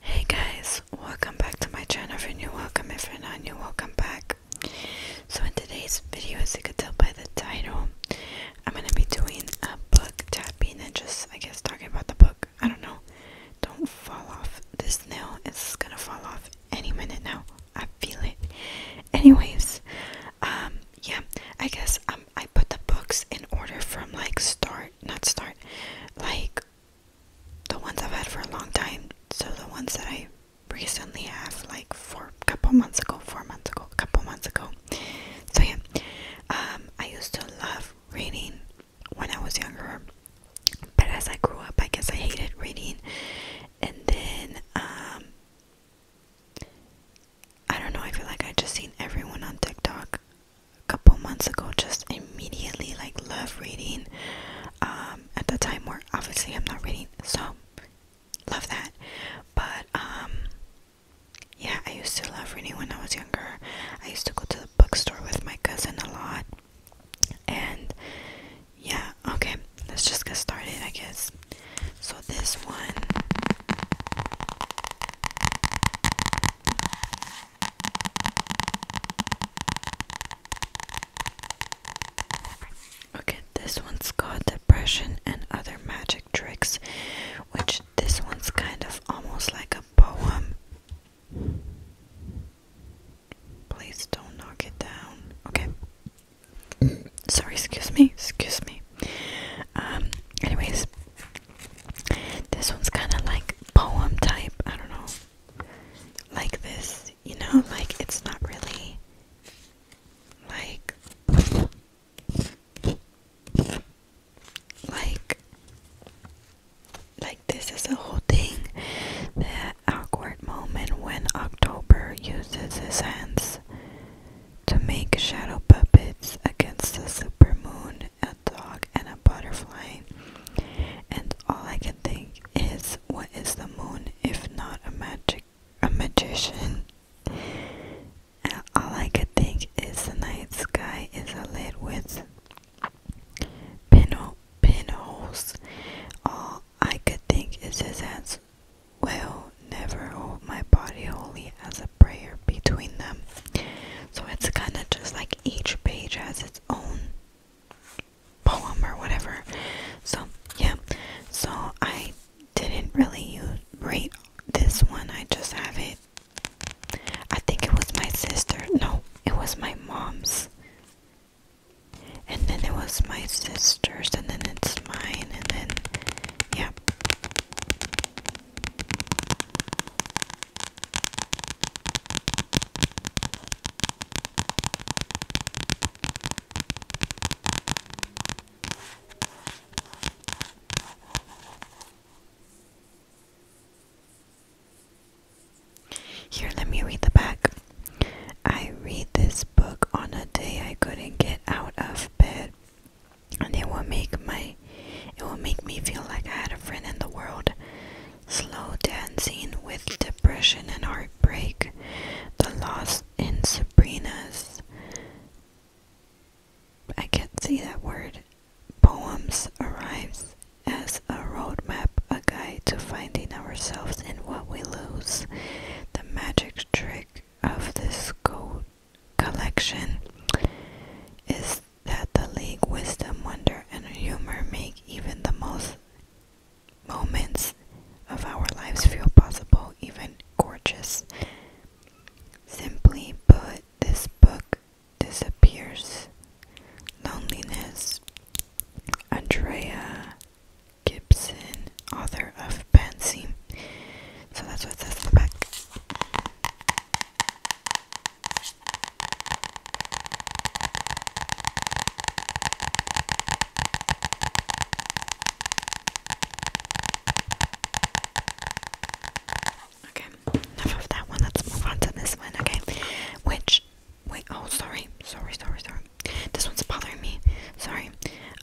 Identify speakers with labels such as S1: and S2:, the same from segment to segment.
S1: Hey guys, welcome back to my channel. If you're new, welcome. If you're not new, welcome back. So in today's video, as you could tell by the title, I'm gonna be doing a book tapping and just, I guess, talking about the book. I don't know. Don't fall off this nail. It's gonna fall off any minute now. I feel it. Anyways, um, yeah, I guess um, I put the books in order from like start not start like the ones I've had for a long time. So the ones that I recently have like four couple months ago, four months ago, couple months ago. So yeah. Um, I used to love reading when I was younger. But as I grew up I guess I hated reading and then um, I don't know, I feel like I just seen everyone on TikTok a couple months ago just immediately like love reading um at the time where obviously I'm not reading so love that but um yeah I used to love reading when I was younger I used to go to the bookstore with my cousin a lot and yeah okay let's just get started I guess so this one Okay, this one's got Depression and Other Magic Tricks, which this one's kind of almost like a poem. Please don't knock it down. Okay. Sorry, excuse me. Excuse me. Um, anyways, this one's kind of like poem type. I don't know. Like this, you know, like it's not really like like like this is a whole thing. The awkward moment when October uses his hands to make shadow puppets against the super moon at dog and a butterfly, and all I can think is, what is the moon if not a magic a magician? all I could think is the night sky is lit with pinhole pinholes. All I could think is his hands will never hold my body holy as a prayer between them. So it's kind of just like each page has its own poem or whatever. So, yeah. So I didn't really use, rate this one. I just have it. I think it was my sister. No, it was my mom's. And then it was my sister's, and then it's mine, and then, yeah. Here, let me read the back. I read this book on a day I couldn't get out of bed, and it will make my it will make me feel like I had a friend in the world. Slow dancing with depression and heartbreak. The loss in Sabrina's. I can't say that word. Poems arrives as a roadmap, a guide to finding ourselves in what we lose. The magic trick of this code collection is that the league wisdom, wonder, and humor make even the most moments of our lives feel possible, even gorgeous. Simply put, this book disappears. Loneliness. Andrea Gibson, author of Pansy. So that's what it says in the back. Okay, enough of that one. Let's move on to this one, okay? Which, wait, oh, sorry, sorry, sorry, sorry. This one's bothering me. Sorry.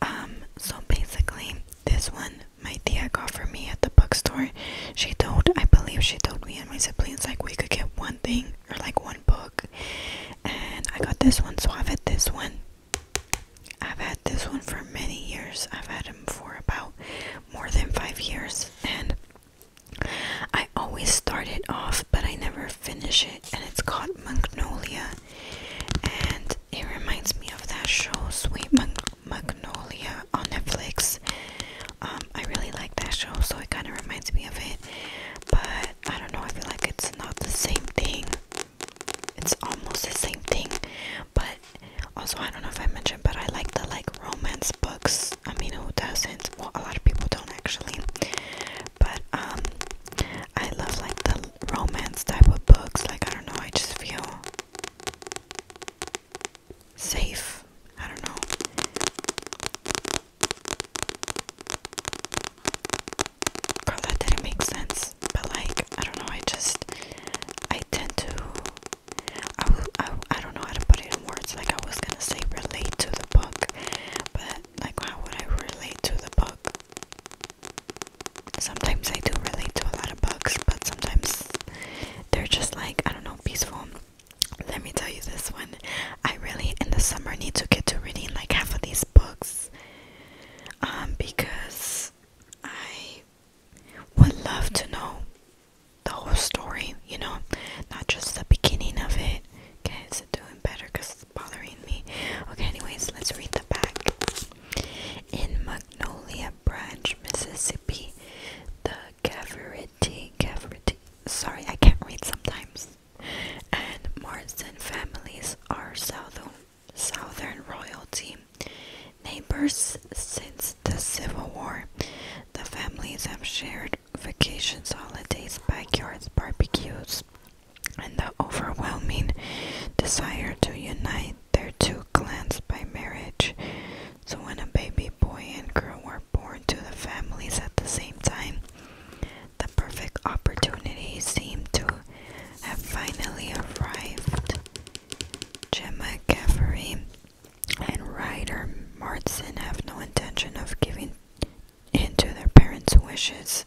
S1: Um, so basically, this one my tia got for me at the bookstore she told, I believe she told me and my siblings, like, we could get one thing or like one book. And I got this one, so I've had this one. I've had this one for many years. I've had them for about more than five years. And I always start it off, but I never finish it. And it's called Magnolia. And it reminds me of that show, Sweet Mag Magnolia on Netflix. Um, I really like that show, so it kind of reminds me of it. But I don't know, I feel like it's not the same thing. It's almost the same thing, but also I don't know if I mentioned, but I like the like romance books. I mean, who doesn't? Well, a lot of people don't actually, but um, I love like the romance type of books. Like I don't know, I just feel safe. I don't know. Girl, that didn't make sense. But like, I don't know. I just, I tend to, I, will, I, I don't know how to put it in words. Like I was gonna say relate to the book, but like, how would I relate to the book? Sometimes I do relate to a lot of books, but sometimes they're just like, I don't know, peaceful let me tell you this one. I really in the summer need to get to reading like half of these books. Um, because I would love to know the whole story, you know, not just the beginning of it. Okay, it's it doing better because it's bothering me? Okay, anyways, let's read the back. In Magnolia Branch, Mississippi, the Gavariti, Gavariti, sorry, I can't read sometimes, and Marsden families are southern, southern royalty. Neighbors since the Civil War, the families have shared vacations, holidays, backyards, barbecues, and the overwhelming desire to unite their two clans by marriage so when a baby boy and girl were born to the families at the same time, the perfect opportunity seemed to have finally arrived. Gemma Gaffery and Ryder Martson have no intention of giving in to their parents' wishes.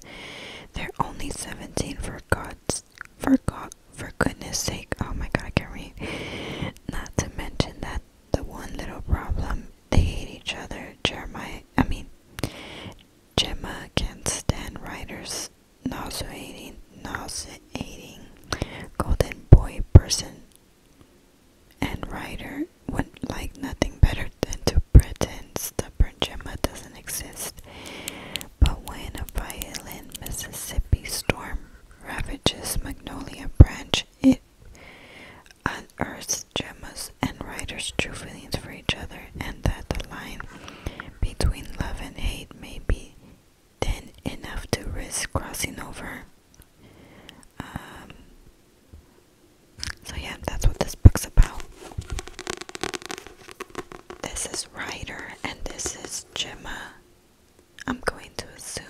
S1: They're only 17 for God's for God for goodness sake. Oh my god, I can't read. Not to mention that the one little problem they hate each other. Jeremiah, I mean, Gemma can't stand writers nauseating, nauseating golden boy person and writer would like nothing better than to pretend that stubborn Gemma doesn't exist. But when a violent Mississippi storm ravages Magnolia Branch, it unearths gems and writers' true feelings for each other, and that the line between love and hate may be thin enough to risk crossing over. Um, so, yeah, that's what this book's about. This is Ryder, and this is Gemma. I'm going to assume.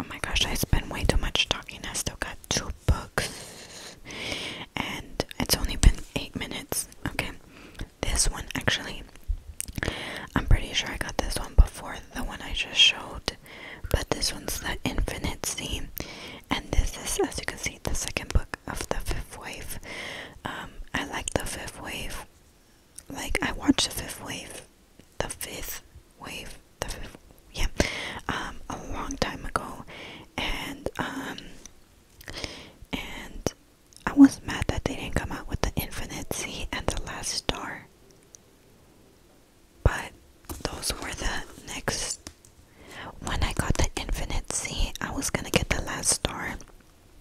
S1: Oh my gosh, I spent way too much talking. I still got two books, and it's only been eight minutes. Okay, this one actually, I'm pretty sure I got this one before the one I just showed, but this one's the Infinite scene, and this is, as you can see, the second book of the Fifth Wave. Um, I like the Fifth Wave like I watched the fifth wave the fifth wave the fifth yeah um a long time ago and um and I was mad that they didn't come out with the infinite sea and the last star but those were the next when I got the infinite sea I was gonna get the last star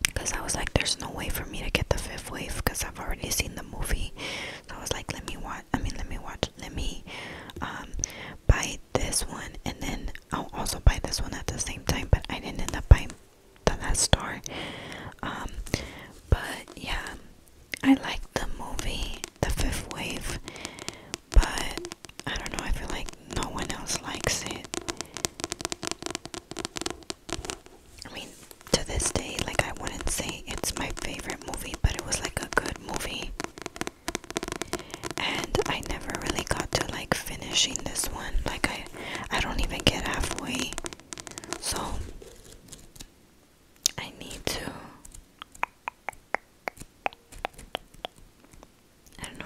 S1: because I was like there's no way for me to get the fifth wave because I've already seen the movie so i was like let me watch i mean let me watch let me um, buy this one and then i'll also buy this one at the same time but i didn't end up buying the last store um, but yeah i like the movie the fifth wave but i don't know i feel like no one else likes it I mean, to this day, like, I wouldn't say it's my favorite movie, but it was like a good movie. And I never really got to like finishing this one. Like, I, I don't even get halfway. So, I need to. I don't know.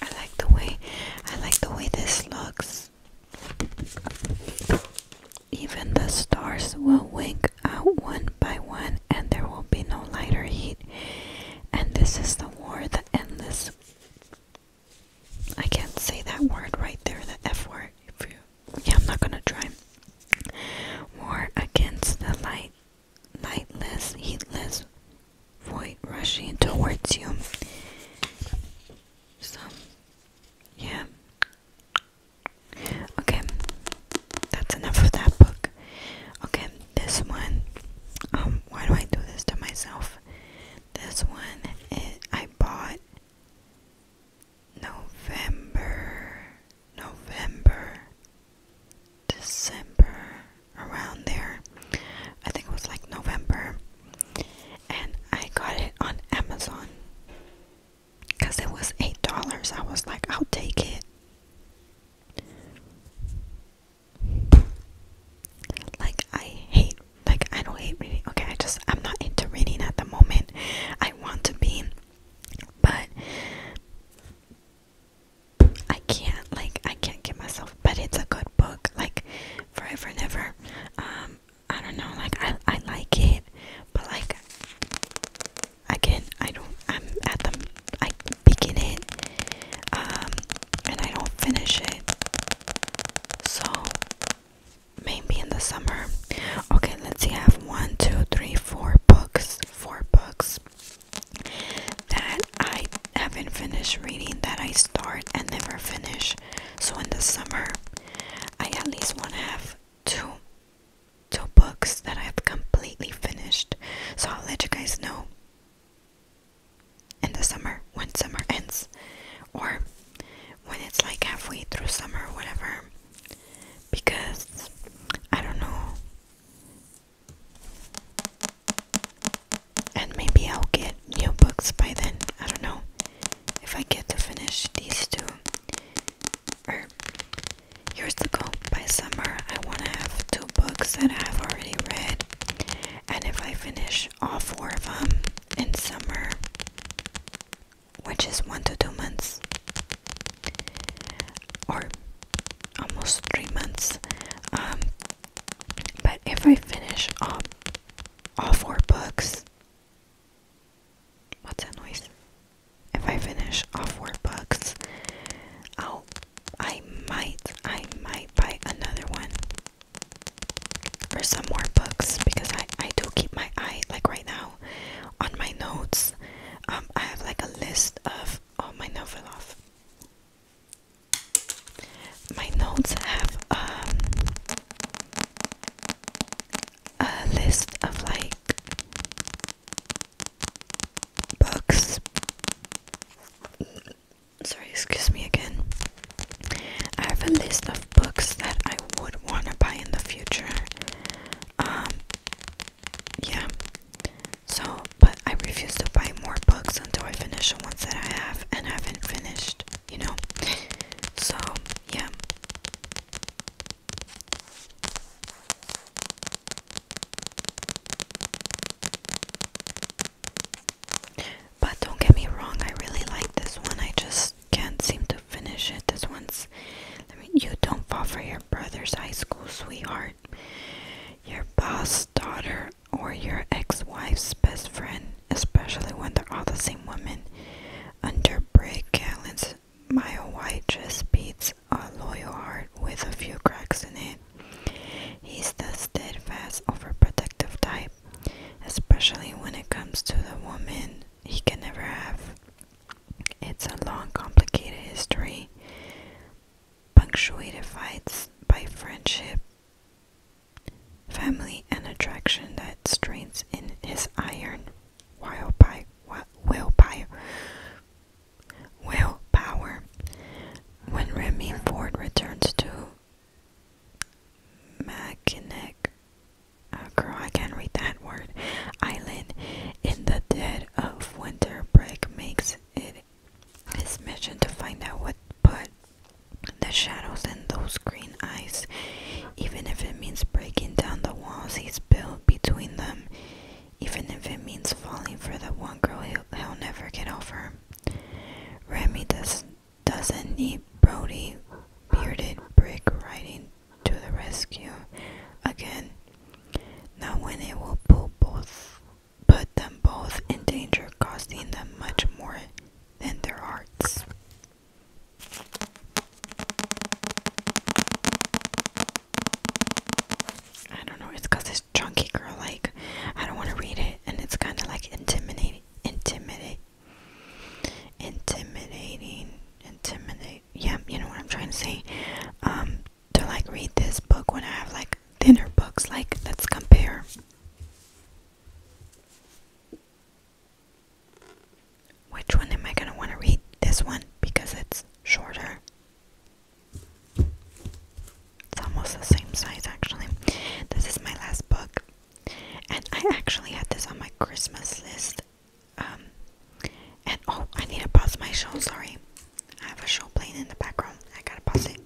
S1: I like the way I like the way this looks. Even the stars will wink out one by one and there will be no lighter heat. And this is the war, the endless I can't say that word right there, the F word. If you, yeah, I'm not gonna try. War against the light, lightless, heatless void rushing towards you. So, yeah. Okay, that's enough of that book. Okay, this one. Um, why do I do this to myself? This one it, I bought November, November, December, around there. I think it was like November. And I got it on Amazon because it was $8. I was like, I'll take it. Like, I hate like I don't hate reading. Okay, I just I'm not into reading at the moment. I want to be, but I can't like I can't get myself. But it's a good book, like forever and ever. Um, I don't know, like I I like it, but like I can't. I don't. I'm at the I begin it, um, and I don't finish it. So maybe in the summer. Okay, let's see. I have one, two, three, four books. Four books that I haven't finished reading that I start and never finish. So in the summer I at least wanna have two two books that I've completely finished. So I'll let you guys know in the summer when summer ends or when it's like halfway through summer or whatever because I don't know and maybe I'll get new books by then I don't know if I get to finish these two or years ago by summer I want to have two books that I've already read and if I finish all four of them in summer, which is one to two months, or almost three months, um, but if I finish all, all four books, what's that noise? If I finish all four books, i I might, I might buy another one or some more books because I, I do keep my eye like right now on my notes. Um, I have like a list of all oh, my novel off. My notes have um, a list of like books sorry, excuse me again. I have a list of books that I would want to buy in the future. Um, yeah. So, but I refuse to buy more books until I finish the ones that I have and haven't finished, you know? So, yeah. But don't get me wrong, I really like this one. I just can't seem to finish it. This one's. Let me. You don't fall for your brother's high school sweetheart, your boss's daughter, or your ex-wife's best friend, especially when they're all the same woman. Under Brick Allen's mile White just beats a loyal heart with a few cracks in it. He's the steadfast, overprotective type especially when it comes to the woman he can never have. It's a long, complicated history, punctuated fights by friendship, family, and attraction that strains in his iron willpower. Willpower. When Remy Ford returns to Mackinac. Oh, girl, I can't read that word. Island in the dead of winter break makes it his mission to find out what put the shadows in those green eyes, even if it means breaking down the walls he's built between them, even if it means falling for the one girl he'll, he'll never get over. Remy does doesn't need Brody Bearded Brick riding to the rescue again. Not when it will pull both, put them both in danger, costing them much more than their hearts. I don't know, it's because it's chunky girl, like, I don't want to read it, and it's kind of like intimidating, intimidate, intimidating intimidate yeah you know what i'm trying to say um to like read this book when i have like thinner books like let's compare which one am i going to want to read this one because it's shorter it's almost the same size actually this is my last book and I actually had this on my Christmas list. Um, and oh, I need to pause my show. Sorry, I have a show playing in the background. I gotta pause it.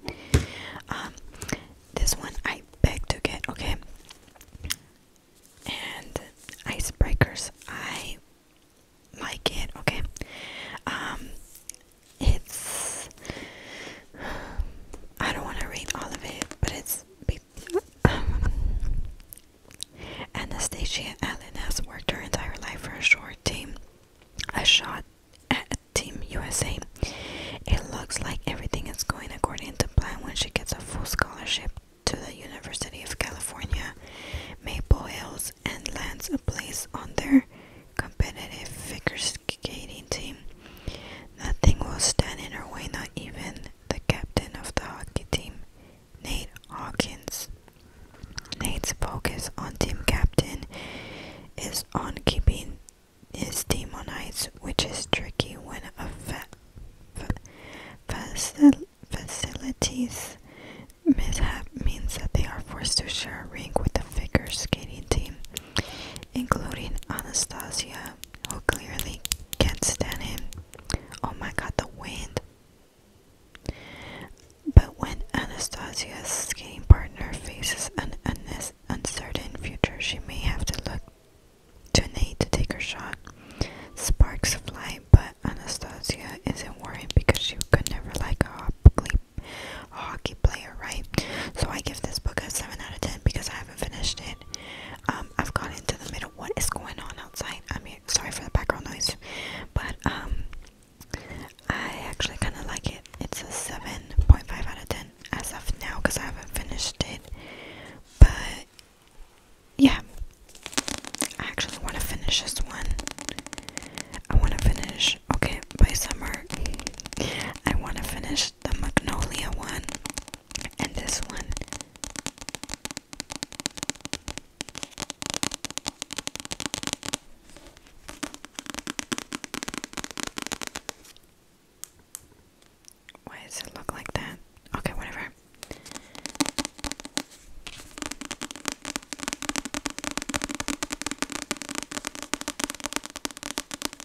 S1: Um, this one I beg to get. Okay. And icebreakers, I like it. Okay. Um, it's. I don't want to read all of it, but it's. Anastasia Allen has worked her entire life for a short team, a shot at Team USA. It looks like everything is going according to plan when she gets a full scholarship to the University of California, Maple Hills, and lands a place on their competitive figure skating painting. Nothing will stand in her way, not even the captain of the hockey team, Nate Hawkins. Nate's focus on team captain is on keeping his team on ice, which is tricky when a facilities mishap means that they are forced to share a rink with the figure skating team including Anastasia, who clearly can't stand him. Oh my god, the wind! But when Anastasia's skating partner faces an uncertain future, she may have to look to Nate to take her shot. Sparks of light, but Anastasia isn't worried because she could never like a hockey player, right? So I give this book a 7 out of 10 because I have have finished it. Um, I've gotten into the middle. What is going on outside? I mean, sorry for the background noise, but um, I actually kind of like it. It's a 7.5 out of 10 as of now because I haven't finished it, but yeah, I actually want to finish this one. I want to finish, okay, by summer. I want to finish the Magnolia one and this one. Why does it look like that? Okay, whatever.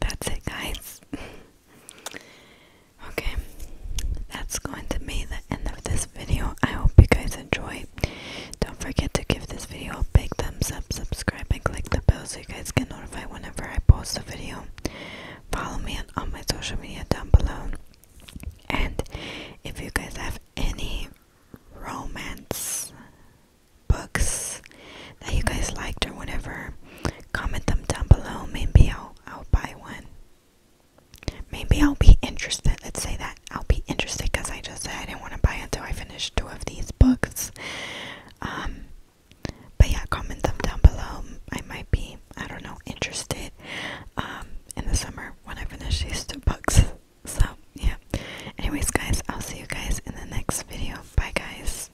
S1: That's it, guys. Okay, that's going to be the end of this video. I hope you guys enjoy. Don't forget to give this video a big thumbs up, subscribe, and click the bell so you guys can notify whenever I post a video. Follow me on, on my social media down below. And if you guys have any romance books that you guys liked or whatever, comment them down below. Maybe I'll I'll buy one. Maybe I'll be interested. Let's say that I'll be interested because I just said I didn't want to buy until I finished two of these books. Um, but yeah, comment them down below. I might be, I don't know, interested um, in the summer when I finish these two books. So, yeah. Anyways, guys, I'll see you guys in the next video. Bye, guys.